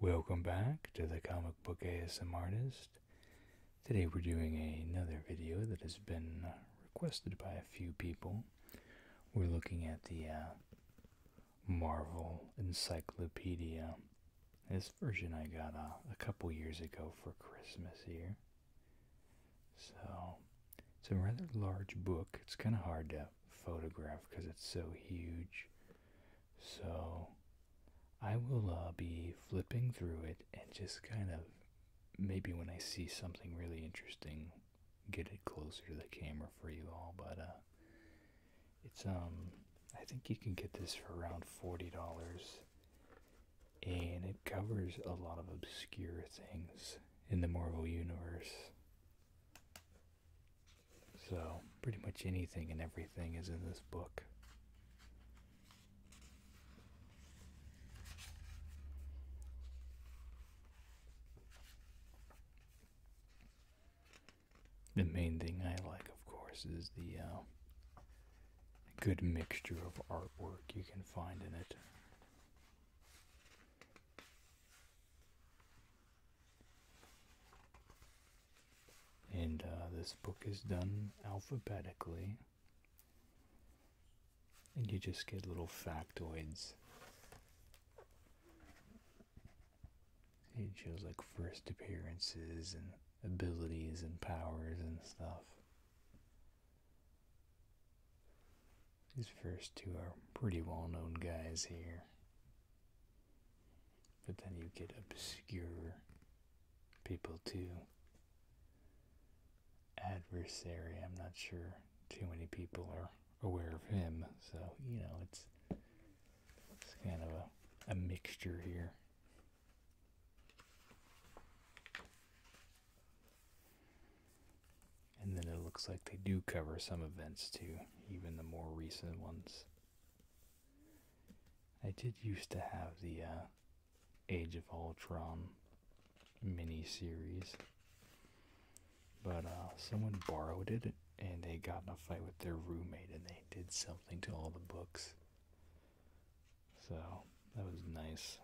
Welcome back to the Comic Book ASM Artist. Today we're doing another video that has been uh, requested by a few people. We're looking at the uh, Marvel Encyclopedia. This version I got uh, a couple years ago for Christmas here. So, it's a rather large book. It's kind of hard to photograph because it's so huge. So I will uh, be flipping through it and just kind of maybe when I see something really interesting, get it closer to the camera for you all. But uh, it's um, I think you can get this for around forty dollars, and it covers a lot of obscure things in the Marvel universe. So, pretty much anything and everything is in this book. The main thing I like, of course, is the uh, good mixture of artwork you can find in it. And uh, this book is done alphabetically. And you just get little factoids. it shows like first appearances and abilities and powers and stuff. These first two are pretty well known guys here. But then you get obscure people too. Adversary, I'm not sure too many people are aware of him, so you know it's it's kind of a, a mixture here. And then it looks like they do cover some events too, even the more recent ones. I did used to have the uh, Age of Ultron mini series, but uh, someone borrowed it and they got in a fight with their roommate and they did something to all the books. So that was nice.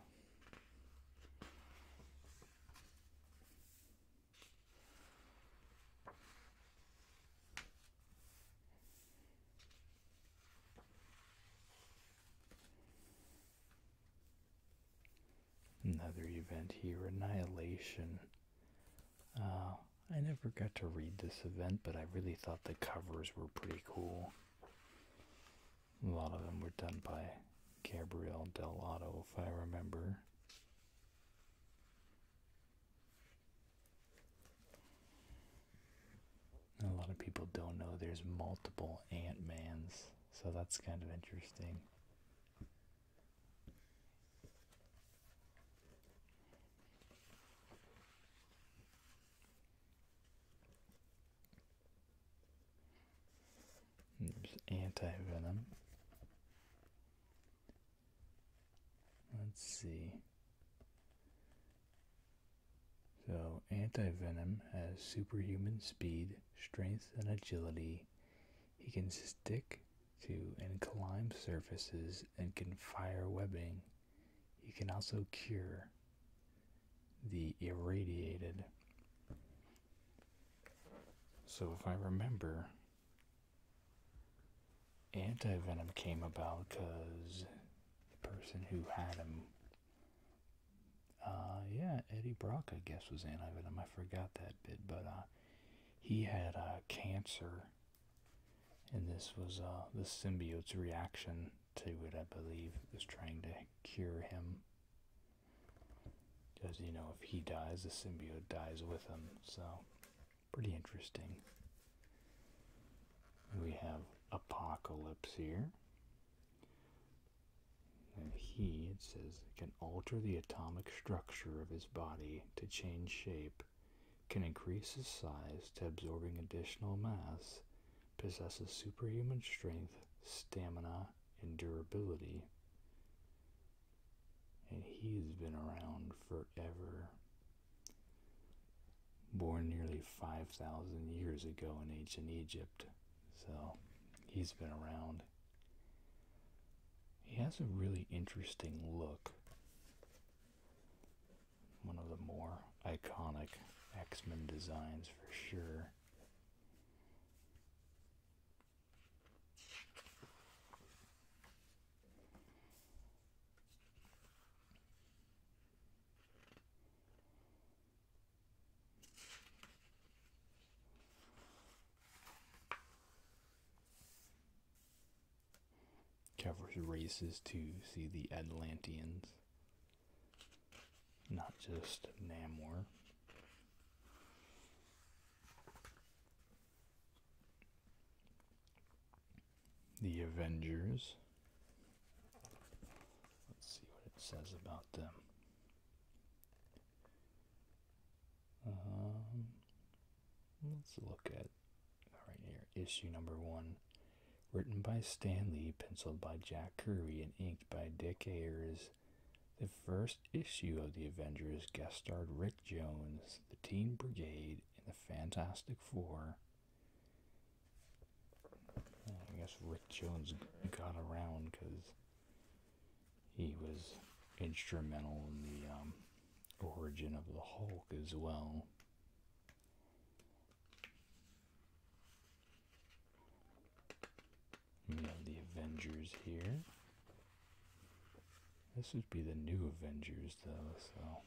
Another event here, Annihilation. Uh, I never got to read this event, but I really thought the covers were pretty cool. A lot of them were done by Gabriel Delotto, if I remember. A lot of people don't know there's multiple Ant-Mans, so that's kind of interesting. There's anti-venom. Let's see. So, anti-venom has superhuman speed, strength, and agility. He can stick to and climb surfaces and can fire webbing. He can also cure the irradiated. So, if I remember, anti-venom came about because the person who had him uh yeah eddie brock i guess was anti-venom i forgot that bit but uh, he had a uh, cancer and this was uh, the symbiote's reaction to it i believe was trying to cure him because you know if he dies the symbiote dies with him so Pretty interesting. We have Apocalypse here. he, it says, can alter the atomic structure of his body to change shape, can increase his size to absorbing additional mass, possesses superhuman strength, stamina, and durability and he's been around forever. Born nearly 5,000 years ago in ancient Egypt, so he's been around. He has a really interesting look. One of the more iconic X Men designs for sure. Covers races to see the Atlanteans, not just Namor. The Avengers. Let's see what it says about them. Um, let's look at right here issue number one, written by Stan Lee, penciled by Jack Kirby, and inked by Dick Ayers. The first issue of the Avengers guest starred Rick Jones, the Teen Brigade, in the Fantastic Four. I guess Rick Jones got around because he was instrumental in the um, origin of the Hulk as well. We have the Avengers here. This would be the new Avengers, though, so.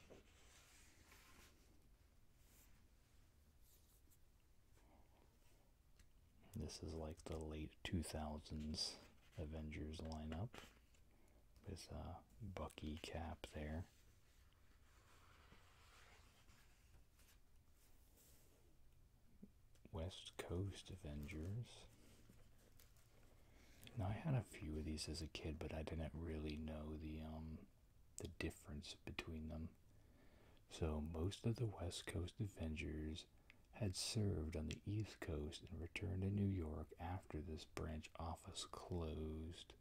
This is like the late 2000s Avengers lineup with a uh, Bucky Cap there. West Coast Avengers. I had a few of these as a kid, but I didn't really know the um the difference between them. So most of the West Coast Avengers had served on the East Coast and returned to New York after this branch office closed.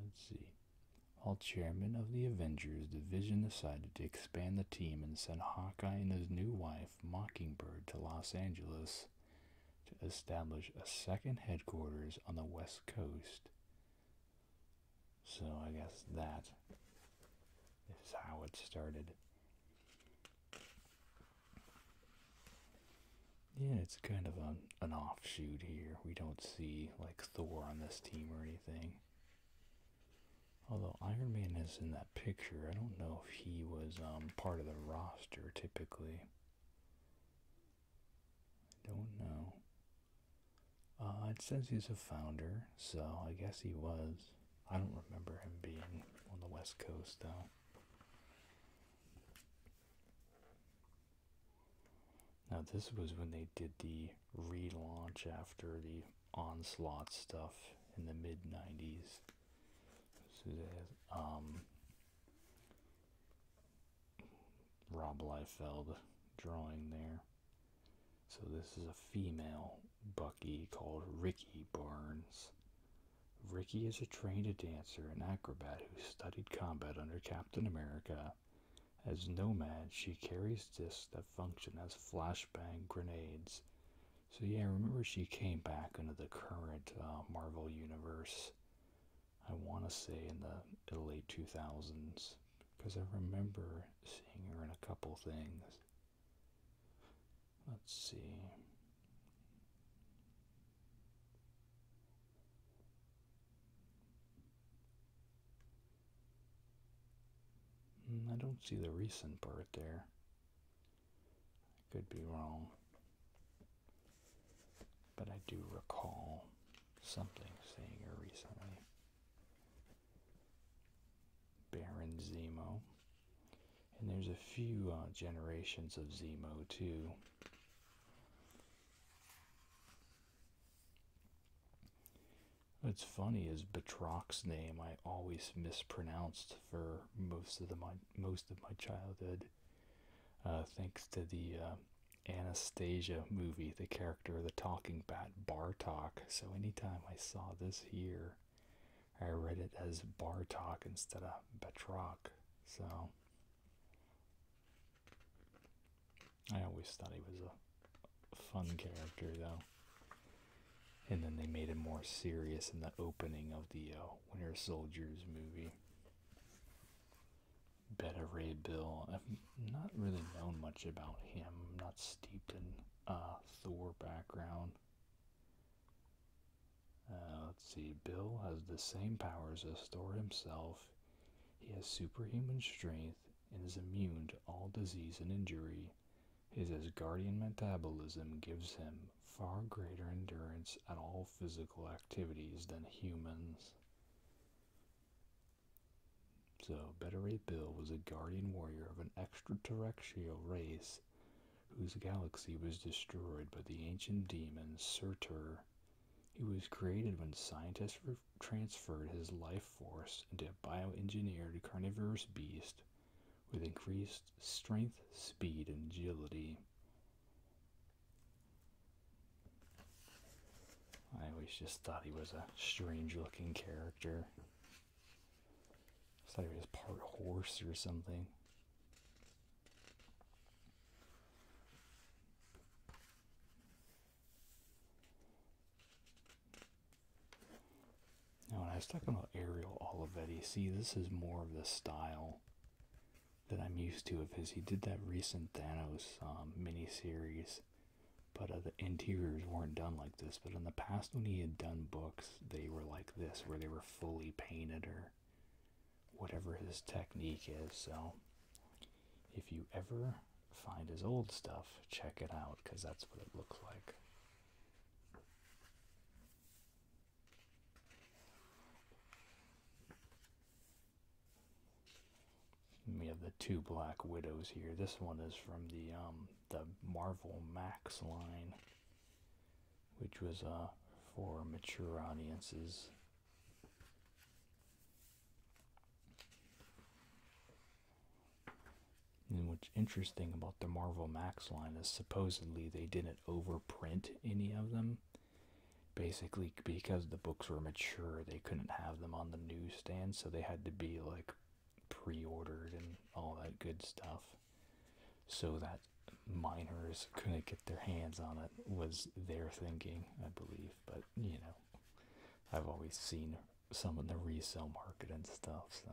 Let's see. While chairman of the Avengers division decided to expand the team and sent Hawkeye and his new wife Mockingbird to Los Angeles to establish a second headquarters on the West Coast. So I guess that is how it started. Yeah, it's kind of an offshoot here. We don't see like Thor on this team or anything. Although Iron Man is in that picture, I don't know if he was um, part of the roster typically. I don't know. Uh, it says he's a founder, so I guess he was. I don't remember him being on the West Coast though. Now, this was when they did the relaunch after the onslaught stuff in the mid 90s. Um, Rob Liefeld drawing there. So this is a female Bucky called Ricky Barnes. Ricky is a trained dancer and acrobat who studied combat under Captain America. As Nomad, she carries discs that function as flashbang grenades so yeah, remember she came back into the current uh, Marvel universe. I want to say in the late 2000s because I remember seeing her in a couple things. Let's see. Hmm, I don't see the recent part there could be wrong, but I do recall something saying recently. Baron Zemo. And there's a few uh, generations of Zemo too. What's funny is Batrock's name I always mispronounced for most of the my most of my childhood, uh, thanks to the uh, Anastasia movie. The character of the talking bat Bartok. So anytime I saw this here, I read it as Bartok instead of Batrock. So I always thought he was a fun character, though and then they made it more serious in the opening of the uh, Winter Soldiers movie. Better Ray Bill. I've not really known much about him. not steeped in uh, Thor background. Uh, let's see. Bill has the same powers as Thor himself. He has superhuman strength and is immune to all disease and injury. His guardian metabolism gives him far greater endurance at all physical activities than humans. So, Better Bill was a guardian warrior of an extraterrestrial race whose galaxy was destroyed by the ancient demon Surtur. He was created when scientists transferred his life force into a bioengineered carnivorous beast with increased strength, speed, and agility. I always just thought he was a strange looking character. Just thought he was part horse or something. Now, when I was talking about Ariel Olivetti, see, this is more of the style that I'm used to of his. He did that recent Thanos um, miniseries, but uh, the interiors weren't done like this. But in the past, when he had done books, they were like this, where they were fully painted or whatever his technique is. So, if you ever find his old stuff, check it out because that's what it looks like. We have the two Black Widows here. This one is from the um, the Marvel Max line, which was uh, for mature audiences. And what's interesting about the Marvel Max line is supposedly they didn't overprint any of them. Basically, because the books were mature, they couldn't have them on the newsstand, so they had to be like pre ordered and all that good stuff. So that minors couldn't get their hands on it was their thinking, I believe. But you know, I've always seen some in the resale market and stuff, so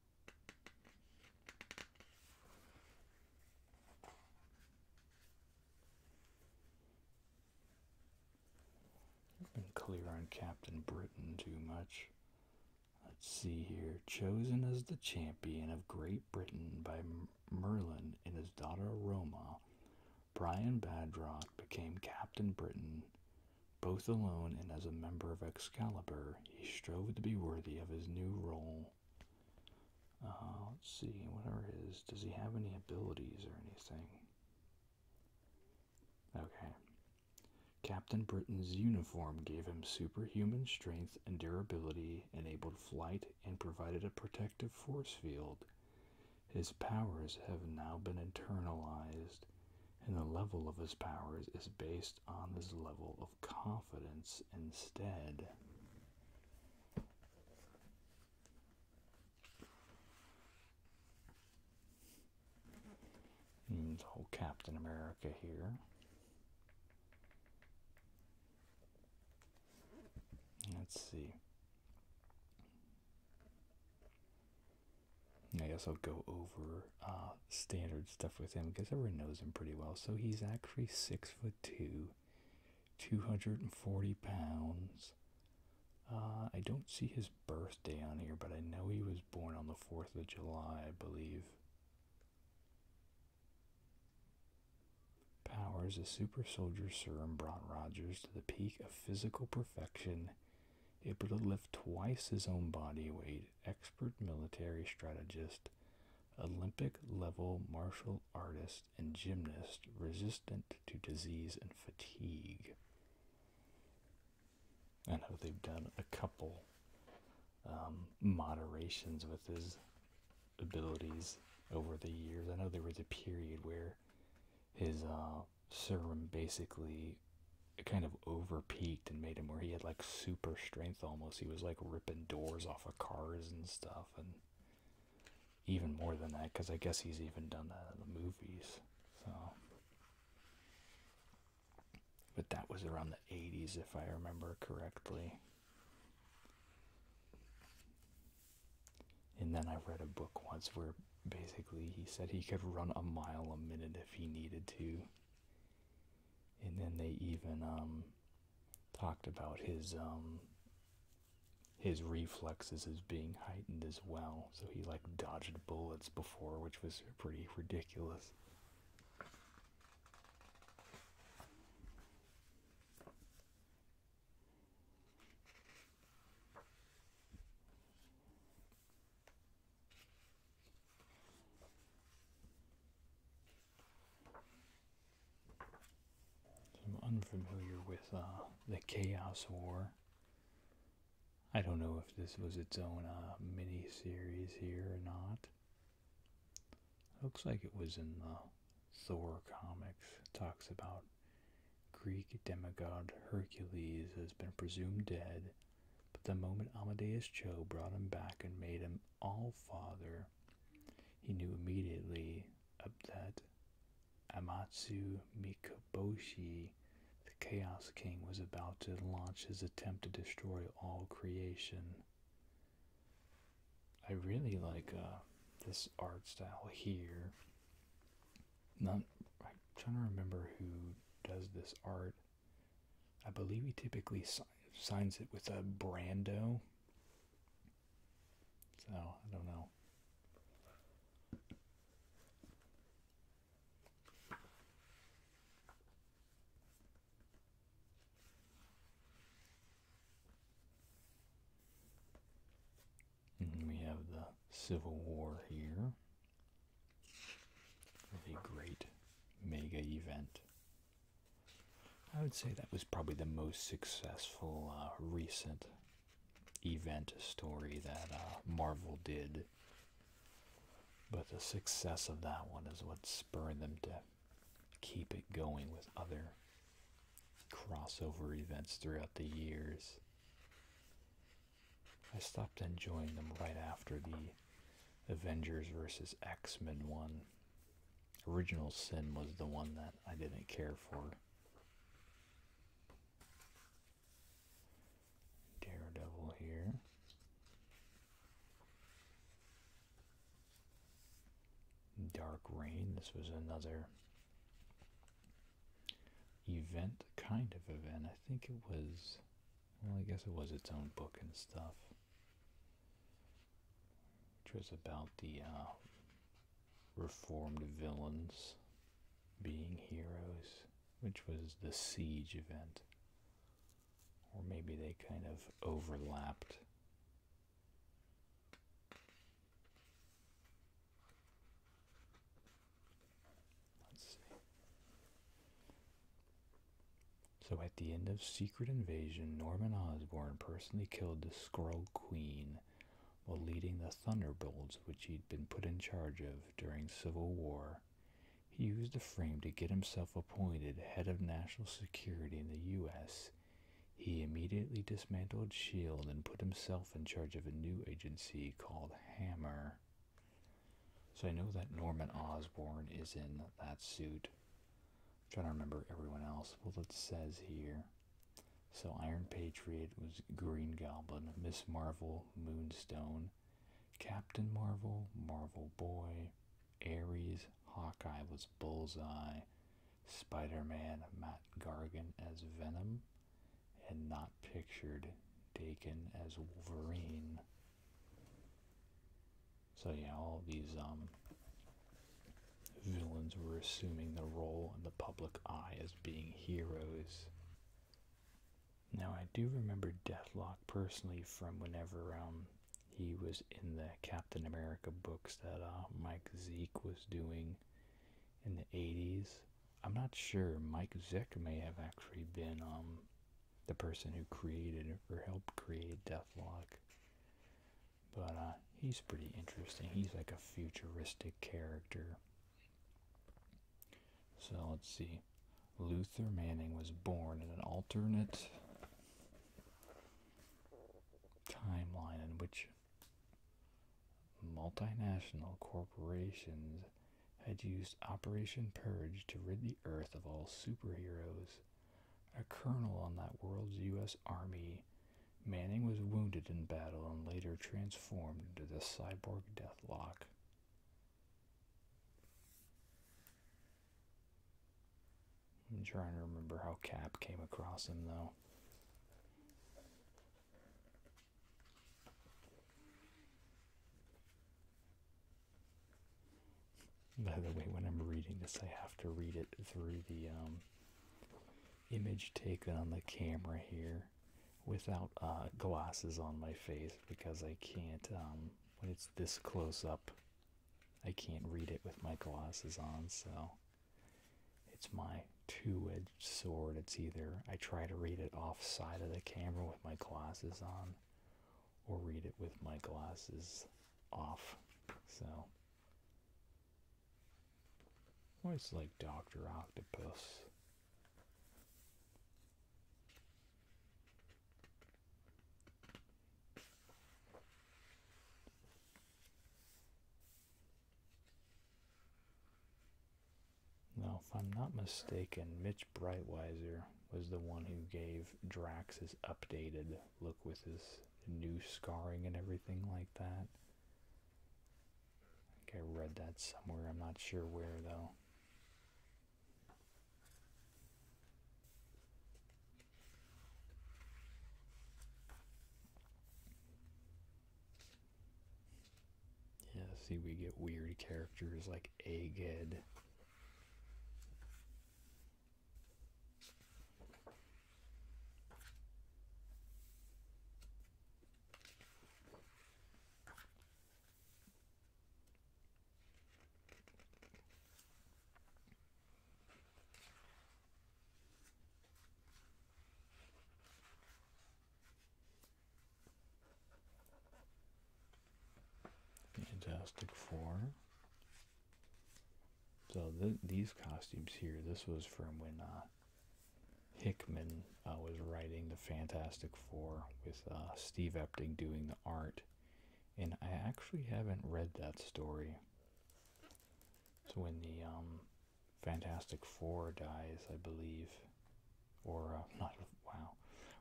I've been clear on Captain Britain too much. Let's see here. Chosen as the champion of Great Britain by Merlin and his daughter Roma, Brian Badrock became Captain Britain. Both alone and as a member of Excalibur, he strove to be worthy of his new role. Uh, let's see, whatever it is, does he have any abilities or anything? Okay. Captain Britain's uniform gave him superhuman strength and durability, enabled flight, and provided a protective force field. His powers have now been internalized, and the level of his powers is based on his level of confidence instead. Means whole Captain America here. Let's see. I guess I'll go over uh, standards stuff with him because everyone knows him pretty well. So he's actually six foot two, two hundred and forty pounds. Uh, I don't see his birthday on here, but I know he was born on the fourth of July, I believe. Powers, a super soldier serum, brought Rogers to the peak of physical perfection, able to lift twice his own body weight. Expert military strategist, Olympic level martial artist and gymnast resistant to disease and fatigue. I know they've done a couple um, moderations with his abilities over the years. I know there was a period where his uh, serum basically kind of overpeaked and made him where he had like super strength almost. He was like and doors off of cars and stuff, and even more than that, because I guess he's even done that in the movies. So, but that was around the '80s, if I remember correctly. And then I read a book once where basically he said he could run a mile a minute if he needed to. And then they even um, talked about his um his reflexes as being heightened as well so he like dodged bullets before which was pretty ridiculous I'm unfamiliar with uh, the Chaos War. I don't know if this was its own uh, mini series here or not. Looks like it was in the Thor comics. talks about Greek demigod Hercules has been presumed dead, but the moment Amadeus Cho brought him back and made him All-Father, he knew immediately that Amatsu Mikaboshi, the Chaos King, was about to launch his attempt to destroy all creation. I really like uh, this art style here. Not, I'm trying to remember who does this art. I believe he typically signs it with a Brando. So, I don't know. And mm, we have the Civil War here. a great mega event I would say that was probably the most successful uh, recent event story that uh, Marvel did. But the success of that one is what spurred them to keep it going with other crossover events throughout the years. I stopped enjoying them right after the Avengers versus X Men one. Original Sin was the one that I didn't care for. Daredevil here. Dark Rain, this was another event, kind of event. I think it was, well, I guess it was its own book and stuff which was about the uh, reformed villains being heroes, which was the siege event. Or maybe they kind of overlapped. Let's see. So at the end of Secret Invasion, Norman Osborn personally killed the Skrull Queen while leading the Thunderbolts, which he'd been put in charge of during Civil War. He used the frame to get himself appointed head of national security in the U.S. He immediately dismantled S.H.I.E.L.D. and put himself in charge of a new agency called Hammer. So I know that Norman Osborn is in that suit. I'm trying to remember everyone else. Well, it says here. So Iron Patriot was Green Goblin, Miss Marvel, Moonstone, Captain Marvel, Marvel Boy, Ares, Hawkeye was Bullseye, Spider-Man, Matt Gargan as Venom, and not pictured Dakin as Wolverine. So yeah, all these um, villains were assuming the role in the public eye as being heroes. Now I do remember Deathlok personally from whenever around um, he was in the Captain America books that uh, Mike Zeke was doing in the 80s. I'm not sure. Mike Zeke may have actually been um, the person who created or helped create Deathlok. But uh, he's pretty interesting. He's like a futuristic character. So let's see. Luther Manning was born in an alternate timeline in which multinational corporations had used Operation Purge to rid the Earth of all superheroes. A colonel on that world's U.S. Army, Manning was wounded in battle and later transformed into the cyborg deathlock. I'm trying to remember how Cap came across him, though. By the way, when I'm reading this, I have to read it through the um, image taken on the camera here without uh, glasses on my face because I can't, um, when it's this close up, I can't read it with my glasses on. So it's my two edged sword. It's either I try to read it off side of the camera with my glasses on or read it with my glasses off. So, always like Doctor Octopus. Now, if I'm not mistaken, Mitch Brightweiser was the one who gave Drax his updated look with his new scarring and everything like that. I think I read that somewhere. I'm not sure where though. Yeah, see, we get weird characters like Egghead. Fantastic Four, so these costumes here, this was from when uh, Hickman uh, was writing the Fantastic Four with uh, Steve Epting doing the art, and I actually haven't read that story. So when the um, Fantastic Four dies, I believe, or not wow,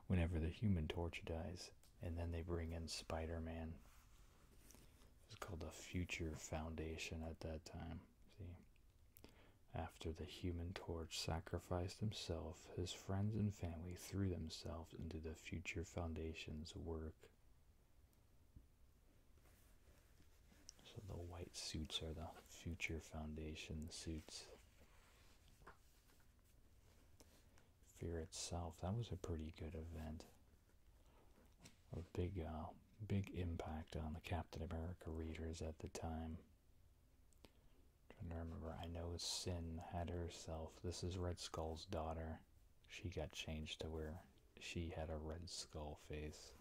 whenever the Human Torch dies, and then they bring in Spider Man it was called the Future Foundation at that time. See, after the Human Torch sacrificed himself, his friends and family threw themselves into the Future Foundation's work. So the white suits are the Future Foundation suits. Fear itself, that was a pretty good event a big, uh, big impact on the Captain America readers at the time. trying to remember, I know Sin had herself. This is Red Skull's daughter. She got changed to where she had a Red Skull face.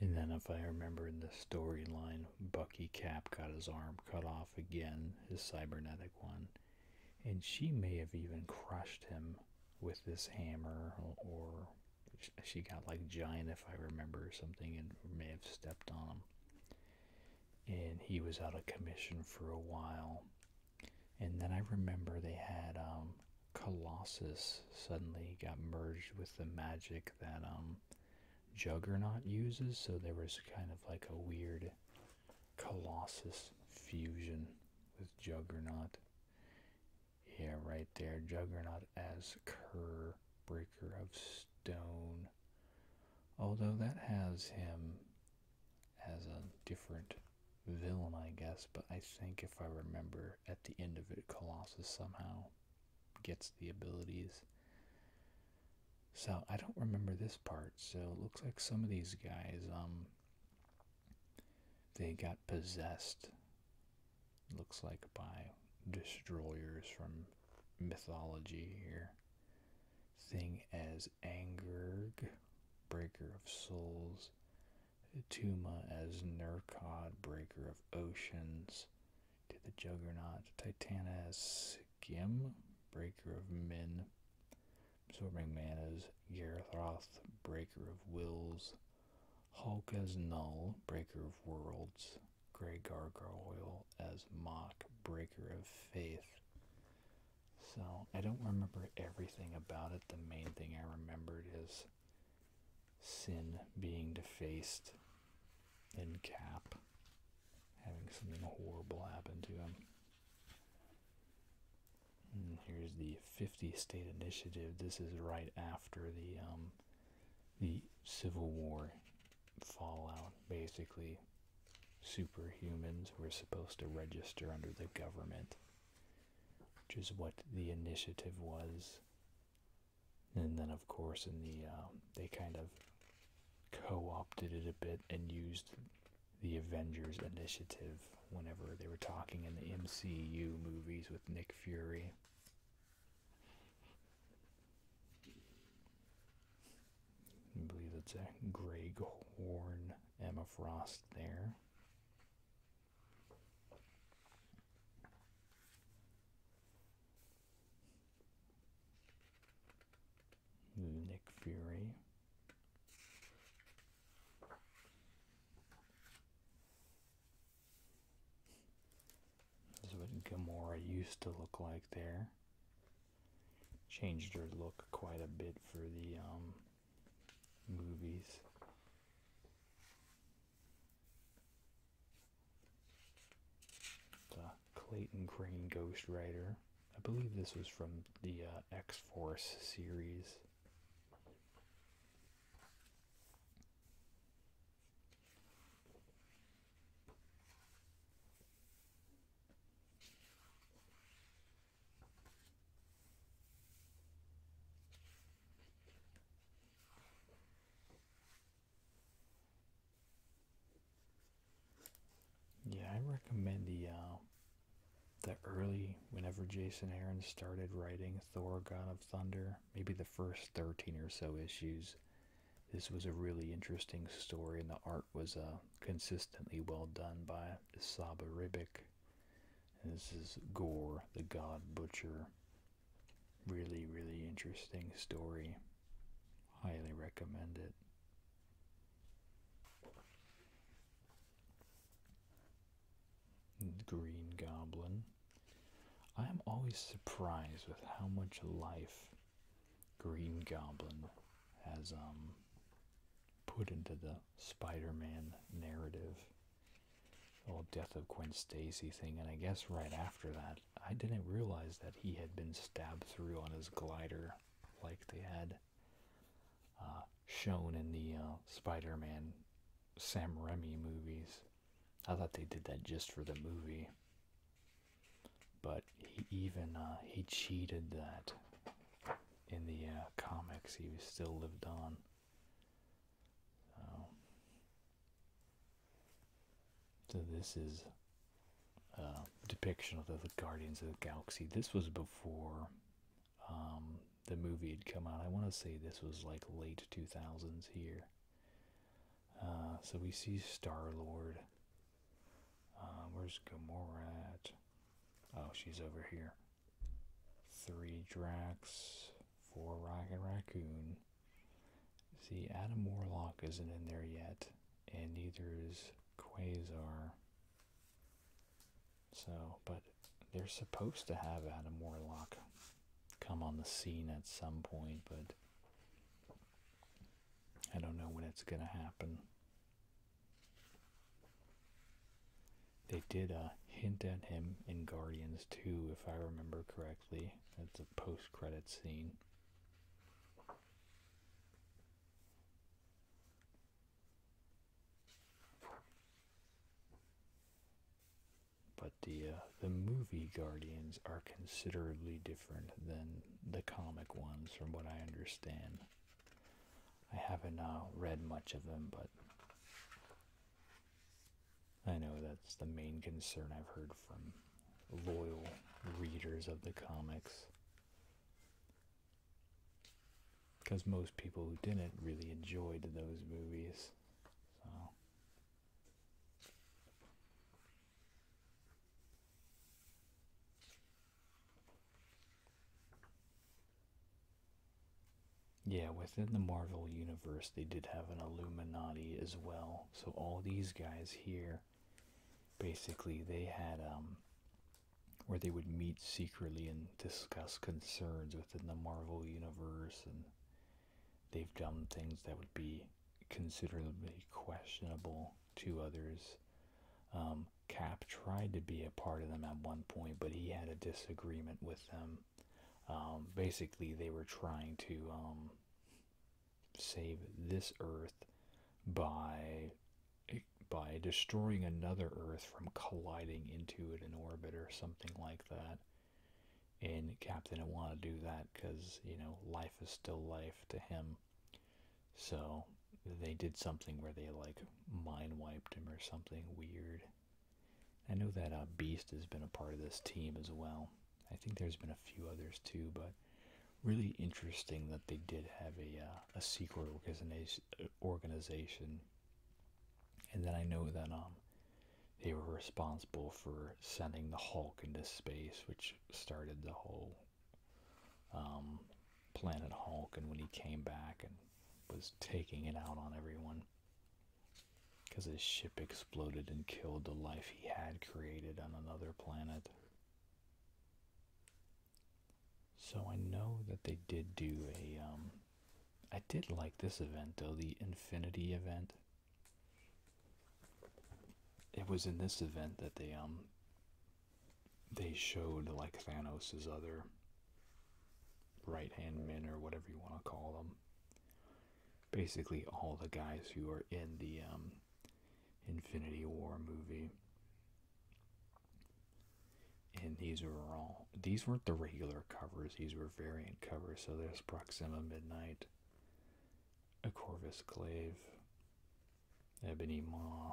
And then, if I remember in the storyline, Bucky Cap got his arm cut off again, his cybernetic one and she may have even crushed him with this hammer or she got like giant if i remember something and may have stepped on him and he was out of commission for a while and then i remember they had um, colossus suddenly got merged with the magic that um, juggernaut uses so there was kind of like a weird Colossus fusion with Juggernaut. Yeah, right there. Juggernaut as Kerr, Breaker of Stone. Although that has him as a different villain, I guess, but I think if I remember at the end of it, Colossus somehow gets the abilities. So I don't remember this part. So it looks like some of these guys, um, they got possessed. Looks like by destroyers from mythology here. Thing as Angerg, breaker of souls. Tuma as Nercod, breaker of oceans. To the Juggernaut. Titanas. Gim, Breaker of Men, Absorbing Manas, Garroth, Breaker of Wills, Hulk as Null, Breaker of Worlds, Grey Gargoyle as Mock, Breaker of Faith. So I don't remember everything about it. The main thing I remembered is sin being defaced in Cap having something horrible happen to him. Mm, here's the 50 state initiative. This is right after the um, the Civil War fallout. Basically, superhumans were supposed to register under the government, which is what the initiative was. And then, of course, in the um, they kind of co-opted it a bit and used the Avengers Initiative whenever they were talking in the MCU movies with Nick Fury. I believe it's a Greg Horn, Emma Frost there. Nick Fury. This is what Gamora used to look like there. Changed her look quite a bit for the um, movies. The Clayton Crane Ghost Rider. I believe this was from the uh, X Force series. Yeah, I recommend the uh, the early whenever Jason Aaron started writing Thor: God of Thunder, maybe the first thirteen or so issues. This was a really interesting story, and the art was uh, consistently well done by Saba Ribic. this is Gore, the God Butcher. Really, really interesting story. Highly recommend it. Green Goblin. I am always surprised with how much life Green Goblin has um put into the Spider-Man narrative. The whole death of Gwen Stacy thing, and I guess right after that, I didn't realize that he had been stabbed through on his glider like they had uh, shown in the uh, Spider-Man Sam Raimi movies. I thought they did that just for the movie, but he even uh, he cheated that in the comics. He still lived on. so this is uh, depiction of the, Guardians of the Galaxy. This was before um, the movie had come out. I want to say this was like late 2000s here. Uh, so we see Star Lord. Um, where's Gamora at? Oh, she's over here. Three Drax, four Rocket Raccoon. See, Adam Warlock isn't in there yet, and neither is Quasar. So, but they're supposed to have Adam Warlock come on the scene at some point, but I don't know when it's going to happen. They did a hint at him in Guardians 2, if I remember correctly. It's a post-credit scene. But the uh, the movie Guardians are considerably different than the comic ones, from what I understand. I haven't uh, read much of them, but I know that's the main concern I've heard from loyal readers of the comics because most people who didn't really enjoyed those movies. Yeah, within the Marvel Universe, they did have an Illuminati as well. So, all these guys here basically they had um, where they would meet secretly and discuss concerns within the Marvel universe and they've done things that would be considerably questionable to others. Um, Cap tried to be a part of them at one point, but he had a disagreement with them. Um, basically, they were trying to save this Earth by by destroying another Earth from colliding into it in orbit or something like that. And Captain, did want to do that because, you know, life is still life to him. So they did something where they, like, mind wiped him or something weird. I know that uh, Beast has been a part of this team as well. I think there's been a few others too, but really interesting that they did have a uh, a secret organization and then I know that um they were responsible for sending the Hulk into space which started the whole um, planet Hulk and when he came back and was taking it out on everyone because his ship exploded and killed the life he had created on another planet so I know that they did do a. Um, I did like this event though, the Infinity event. It was in this event that they um. They showed like Thanos's other right hand men or whatever you want to call them. Basically, all the guys who are in the um, Infinity War movie and these were all these weren't the regular covers these were variant covers so there's proxima midnight a corvus glaive ebony maw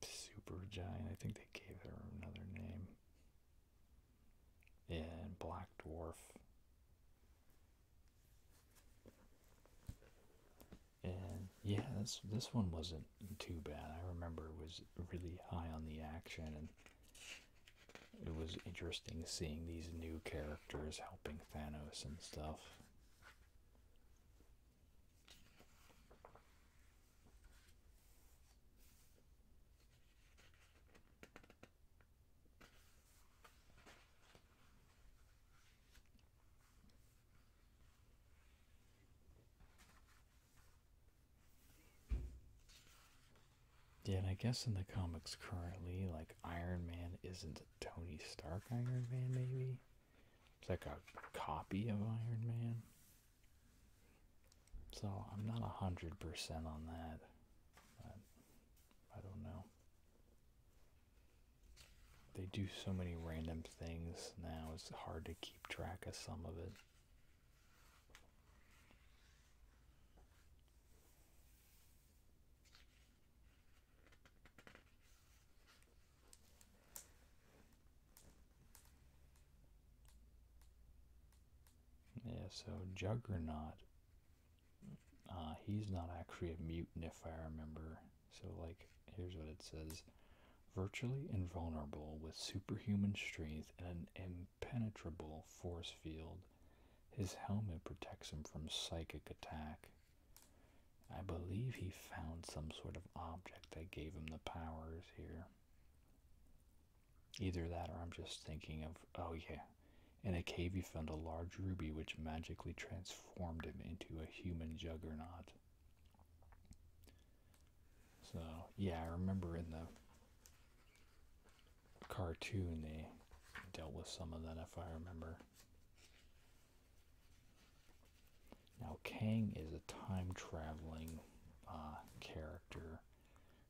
super giant i think they gave her another name and black dwarf and yeah this this one wasn't too bad i remember it was really high on the action and it was interesting seeing these new characters helping thanos and stuff yeah, I guess in the comics currently, like Iron Man isn't Tony Stark Iron Man, maybe? It's like a copy of Iron Man. So I'm not 100% on that. But I don't know. They do so many random things now, it's hard to keep track of some of it. Yeah, so Juggernaut, uh, he's not actually a mutant if I remember so, like, here's what it says virtually invulnerable with superhuman strength and an impenetrable force field. His helmet protects him from psychic attack. I believe he found some sort of object that gave him the powers here. Either that or I'm just thinking of, oh yeah, in a cave he found a large ruby which magically trans Formed him into a human juggernaut. So, yeah, I remember in the cartoon they dealt with some of that, if I remember. Now, Kang is a time traveling uh, character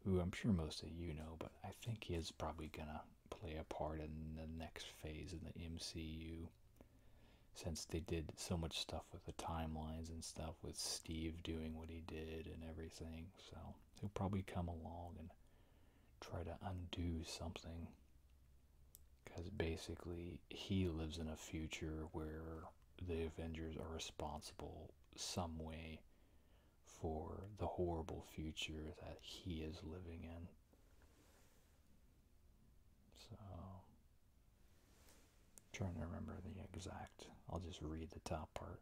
who I'm sure most of you know, but I think he is probably gonna play a part in the next phase of the MCU since they did so much stuff with the timelines and stuff with Steve doing what he did and everything. So he'll probably come along and try to undo something. Because basically, he lives in a future where the Avengers are responsible some way for the horrible future that he is living in. So, trying to remember the exact, I'll just read the top part.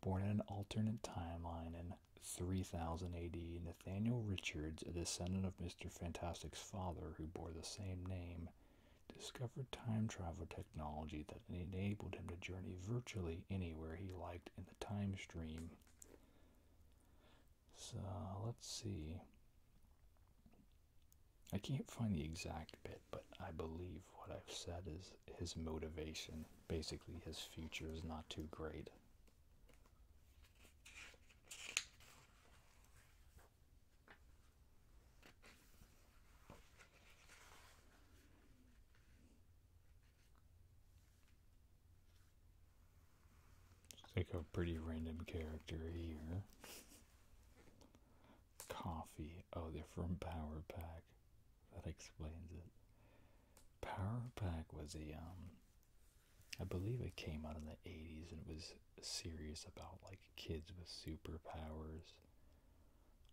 Born in an alternate timeline in 3000 AD, Nathaniel Richards, a descendant of Mr. Fantastic's father who bore the same name, discovered time travel technology that enabled him to journey virtually anywhere he liked in the time stream. So let's see. I can't find the exact bit, but I believe what I've said is his motivation. Basically, his future is not too great let like a pretty random character here. Coffee. Oh, they're from Power Pack. That explains it. Power Pack was a um, I believe it came out in the 80s and it was serious about like kids with superpowers.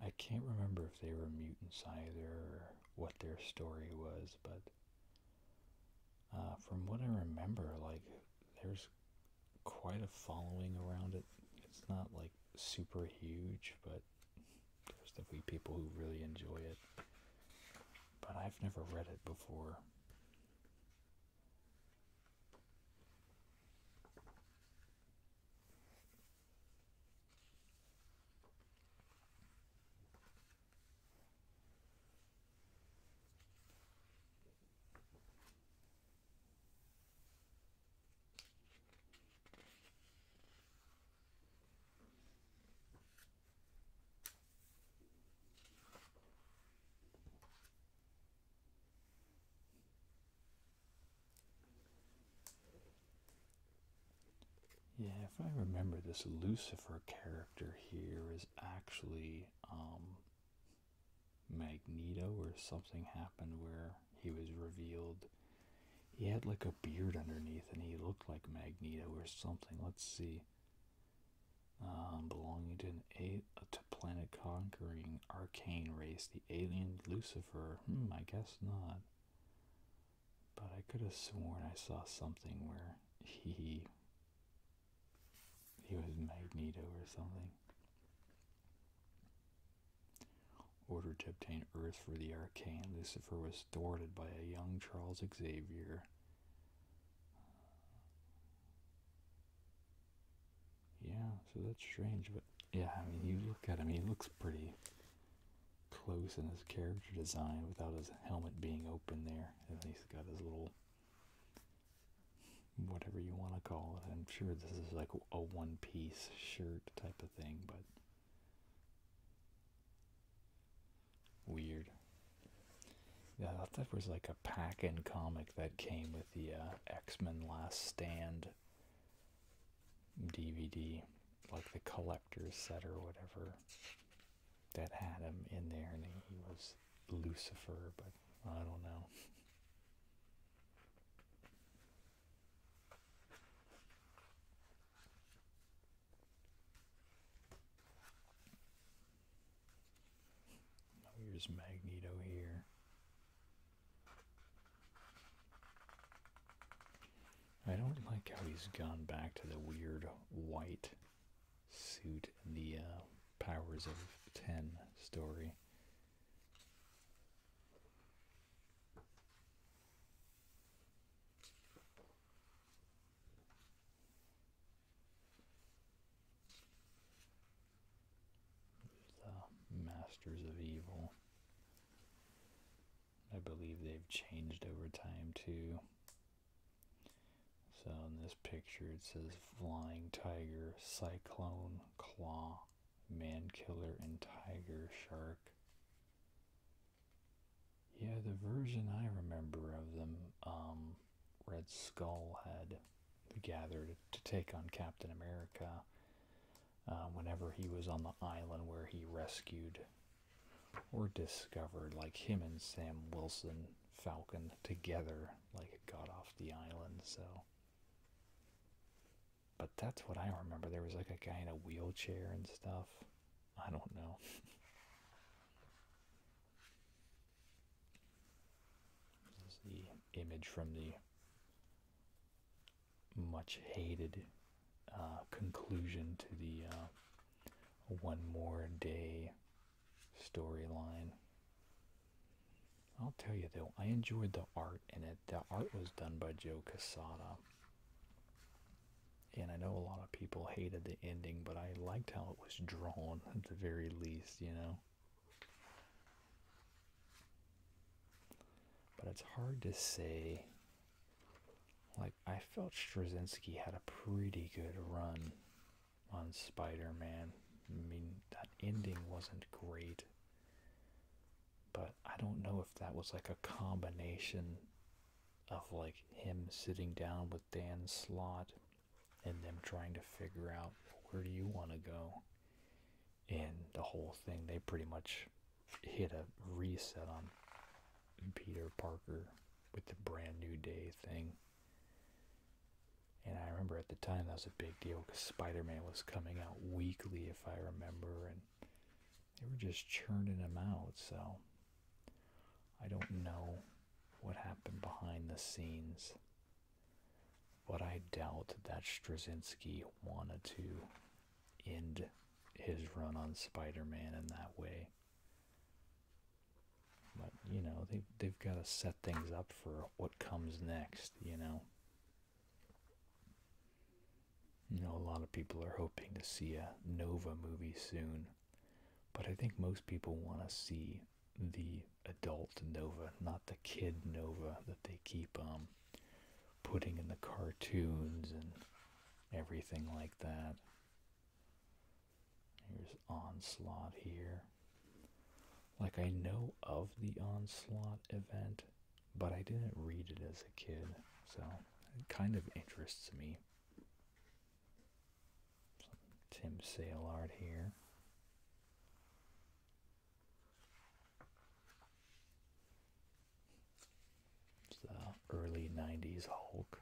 I can't remember if they were mutants either or what their story was, but uh, from what I remember, like there's quite a following around it. It's not like super huge, but there's definitely people who really enjoy it. But I've never read it before. Yeah, if I remember, this Lucifer character here is actually um, Magneto or something happened where he was revealed. He had like a beard underneath and he looked like Magneto or something. Let's see. Um, belonging to an a, a to planet conquering arcane race, the alien Lucifer. Hmm, I guess not. But I could have sworn I saw something where he he was Magneto or something. Ordered to obtain Earth for the Arcane, Lucifer was thwarted by a young Charles Xavier. Yeah, so that's strange, but yeah, I mean, you look at him, he looks pretty close in his character design without his helmet being open there. And he's got his little whatever you want to call it. I'm sure this is like a one piece shirt type of thing, but weird. Yeah, I thought that was like a pack in comic that came with the uh, X Men Last Stand DVD, like the collector's set or whatever that had him in there and he was Lucifer, but I don't know. Oh, here's Magneto here. I don't like how he's gone back to the weird white suit the uh, powers of 10 story. The Masters of Evil. I believe they've changed over time too. So in this picture it says flying tiger, cyclone, claw, man killer, and tiger shark. Yeah, the version I remember of them, um, Red Skull had gathered to take on Captain America uh, whenever he was on the island where he rescued or discovered, like him and Sam Wilson Falcon together like it got off the island. So, but that's what I remember. There was like a guy in a wheelchair and stuff. I don't know. this is the image from the much hated uh, conclusion to the uh, One More Day storyline. I'll tell you though, I enjoyed the art in it. The art was done by Joe Casada. And I know a lot of people hated the ending, but I liked how it was drawn at the very least, you know. But it's hard to say. Like, I felt Straczynski had a pretty good run on Spider-Man. I mean, that ending wasn't great. But I don't know if that was like a combination of like him sitting down with Dan Slott and them trying to figure out where do you want to go. And the whole thing, they pretty much hit a reset on Peter Parker with the brand new day thing. And I remember at the time that was a big deal because Spider Man was coming out weekly, if I remember, and they were just churning them out. So I don't know what happened behind the scenes, but I doubt that Straczynski wanted to end his run on Spider Man in that way. But you know they they've got to set things up for what comes next. You know, you know a lot of people are hoping to see a Nova movie soon, but I think most people want to see the adult Nova, not the kid Nova that they keep um putting in the cartoons and everything like that. Here's Onslaught here. Like, I know of the Onslaught event, but I didn't read it as a kid, so it kind of interests me. Tim Sale here. It's the early 90s Hulk.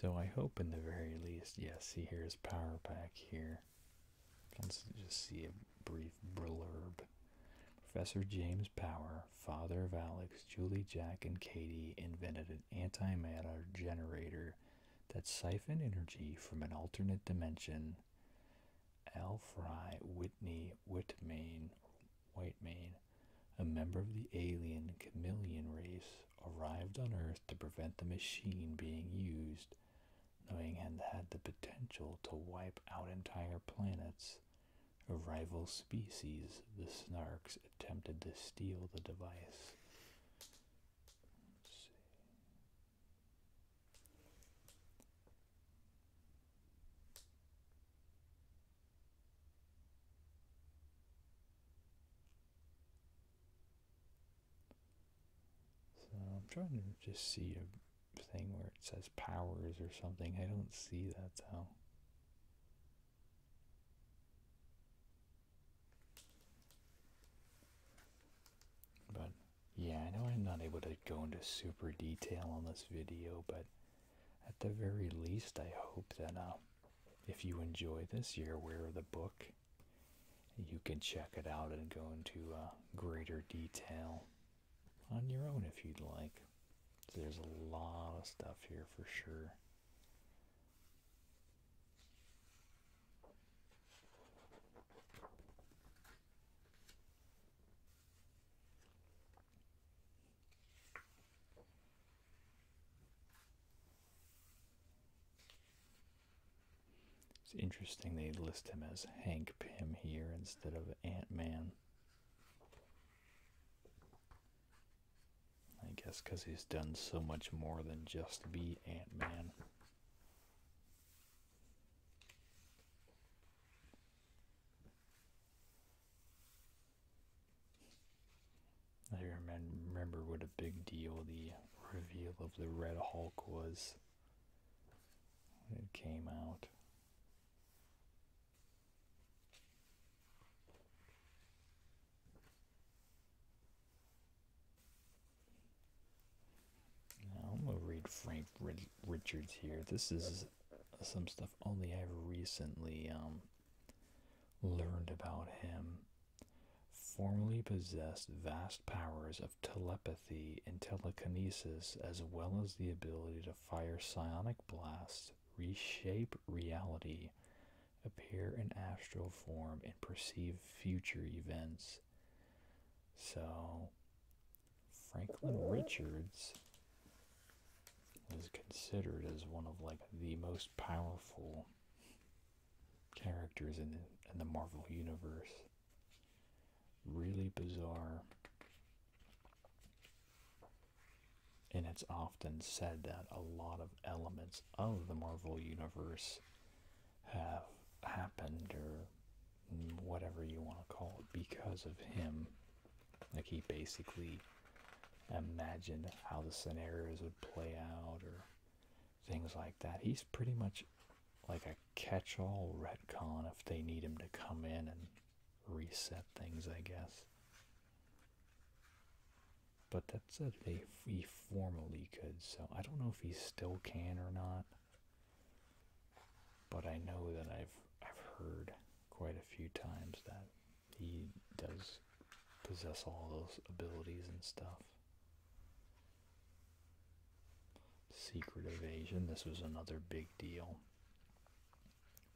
So I hope in the very least, yes, see here's power Pack. here. Let's just see a brief blurb. Professor James Power, father of Alex, Julie, Jack, and Katie, invented an antimatter generator that siphoned energy from an alternate dimension. Al Fry Whitney Whitmain, Whitemain, a member of the alien chameleon race, arrived on Earth to prevent the machine being used, knowing it had the potential to wipe out entire planets. A rival species, the Snarks, attempted to steal the device. So I'm trying to just see a thing where it says powers or something. I don't see that though. But yeah, I know I'm not able to go into super detail on this video, but at the very least, I hope that uh, if you enjoy this, you're aware of the book you can check it out and go into uh, greater detail on your own if you'd like. there's a lot of stuff here for sure. It's interesting they list him as Hank Pym here instead of Ant Man. I guess because he's done so much more than just be Ant Man. I remember what a big deal the reveal of the Red Hulk was when it came out. Now I'm gonna read Frank Richards here. This is some stuff only I've recently um, learned about him formerly possessed vast powers of telepathy and telekinesis, as well as the ability to fire psionic blasts, reshape reality, appear in astral form, and perceive future events. So, Franklin Richards is considered as one of like the most powerful characters in the, Marvel universe. Really bizarre. And it's often said that a lot of elements of the Marvel universe have happened or whatever you want to call it because of him. Like he basically imagined how the scenarios would play out or things like that. He's pretty much like a catch-all retcon if they need him to come in and reset things, I guess. But that said, if he formally could, so I don't know if he still can or not. But I know that I've I've heard quite a few times that he does possess all those abilities and stuff. Secret Evasion. This was another big deal.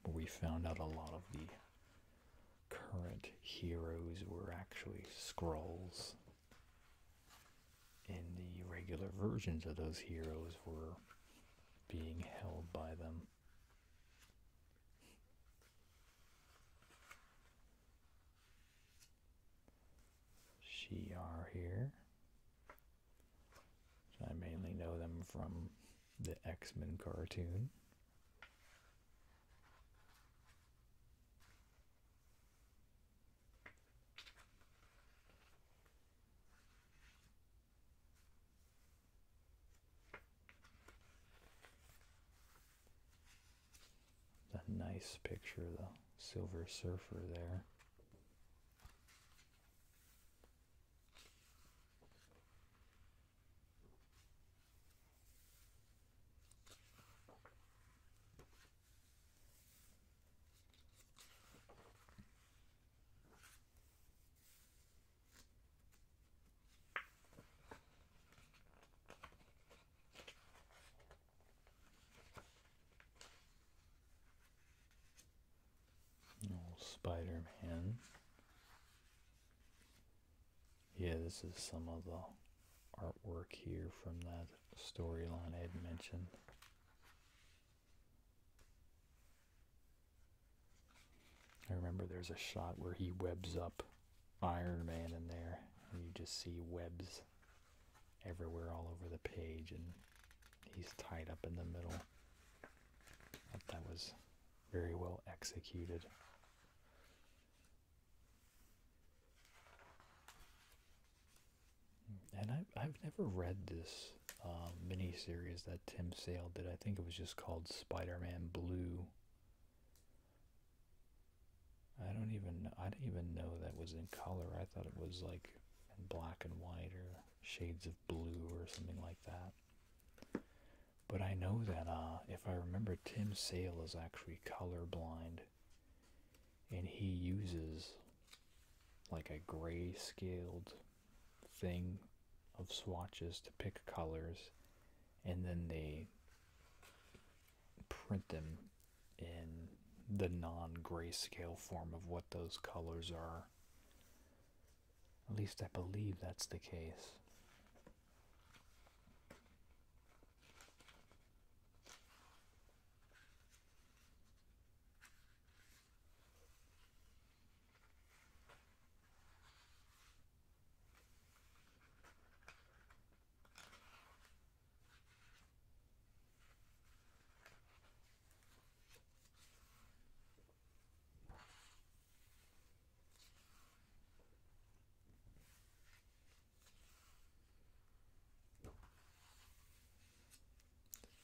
We found out a lot of the current heroes were actually scrolls. And the regular versions of those heroes were being held by them. Shi'ar here. I mainly know them from the X-Men cartoon. That nice picture of the Silver Surfer there. Spider Man. Yeah, this is some of the artwork here from that storyline I had mentioned. I remember there's a shot where he webs up Iron Man in there. And you just see webs everywhere all over the page and he's tied up in the middle. that was very well executed. And I, I've never read this uh, miniseries that Tim Sale did. I think it was just called Spider-Man Blue. I don't even I didn't even know that was in color. I thought it was like in black and white or shades of blue or something like that. But I know that uh, if I remember, Tim Sale is actually colorblind, and he uses like a gray scaled thing of swatches to pick colors, and then they print them in the non gray scale form of what those colors are. At least I believe that's the case.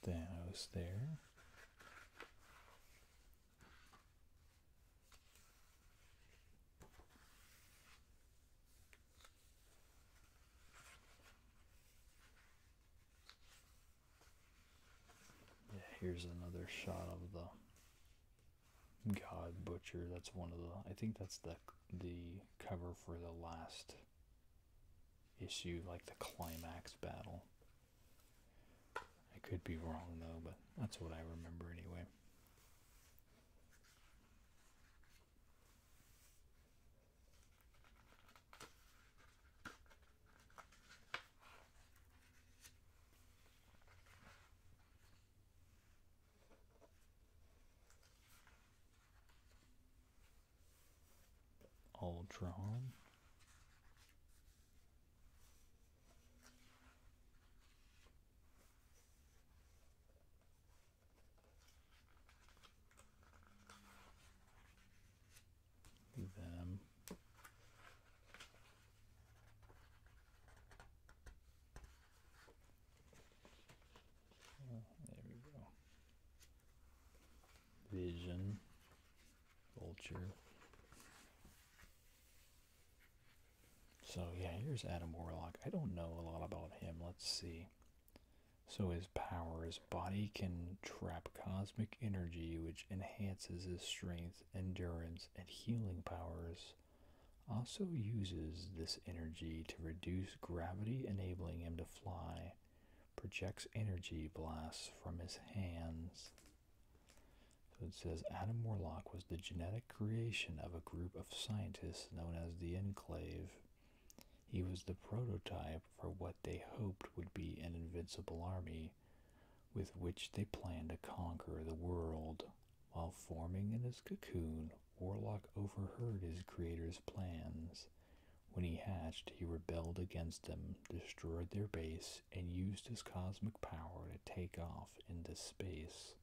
Then I was there. Yeah, here's another shot of the God Butcher. That's one of the. I think that's the the cover for the last issue, like the climax battle. I could be wrong though, but that's what I remember anyway. All drawn. The oh, there we go. Vision. Vulture. So yeah, here's Adam Warlock. I don't know a lot about him. Let's see. So his powers: his body can trap cosmic energy, which enhances his strength, endurance, and healing powers. Also uses this energy to reduce gravity, enabling him to fly. Projects energy blasts from his hands. So it says Adam Warlock was the genetic creation of a group of scientists known as the Enclave. He was the prototype for what they hoped would be an invincible army, with which they planned to conquer the world. While forming in his cocoon, Warlock overheard his creator's plans. When he hatched, he rebelled against them, destroyed their base, and used his cosmic power to take off into space.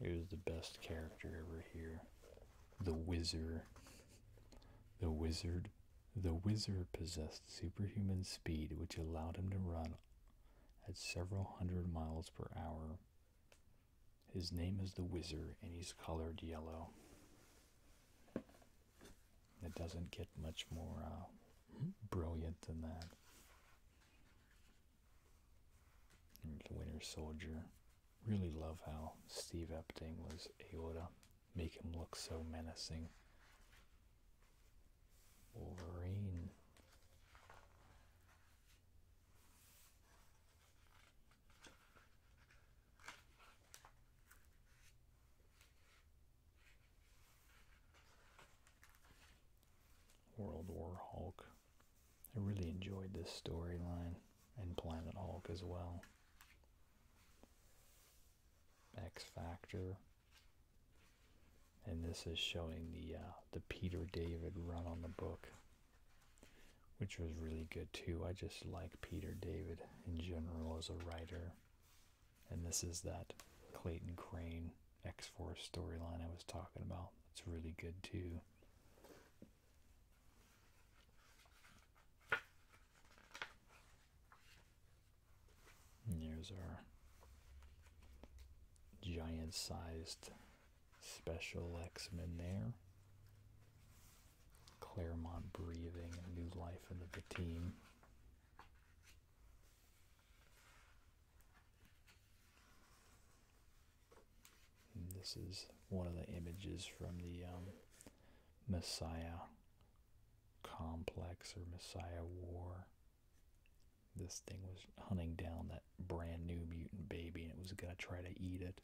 It was the best character ever here. The Wizard. The Wizard. The Wizard possessed superhuman speed, which allowed him to run at several hundred miles per hour. His name is the Wizard, and he's colored yellow. It doesn't get much more uh, brilliant than that the Winter Soldier. Really love how Steve Epting was able to make him look so menacing. Wolverine. World War Hulk. I really enjoyed this storyline and Planet Hulk as well. X Factor. And this is showing the uh, the Peter David run on the book, which was really good too. I just like Peter David in general as a writer. And this is that Clayton Crane X Force storyline I was talking about. It's really good too. And there's our giant sized special X Men there. Claremont breathing new life into the team this is one of the images from the um, Messiah complex or Messiah war. This thing was hunting down that brand new mutant baby and it was going to try to eat it.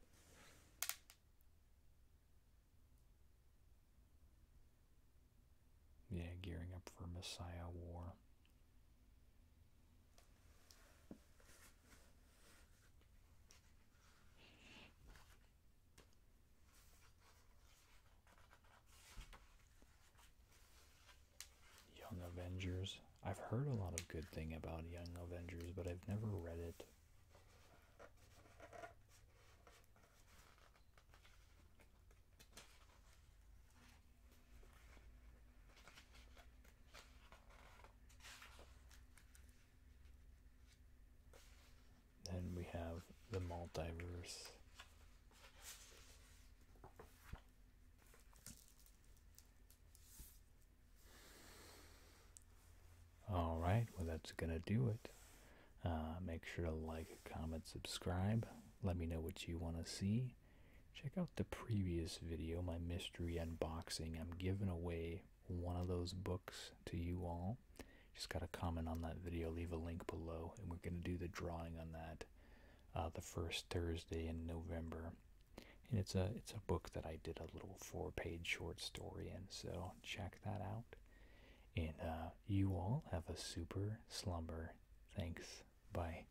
Yeah, gearing up for Messiah war. Young Avengers. I've heard a lot of good thing about Young Avengers, but I've never read it. Then we have the multiverse. All right, well, that's going to do it. Uh, make sure to like, comment, subscribe. Let me know what you want to see check out the previous video, my mystery unboxing. I'm giving away one of those books to you all. Just got to comment on that video, leave a link below, and we're going to do the drawing on that uh, the first Thursday in November. And it's a it's a book that I did a little four-page short story in, so check that out. And uh, you all have a super slumber. Thanks. Bye.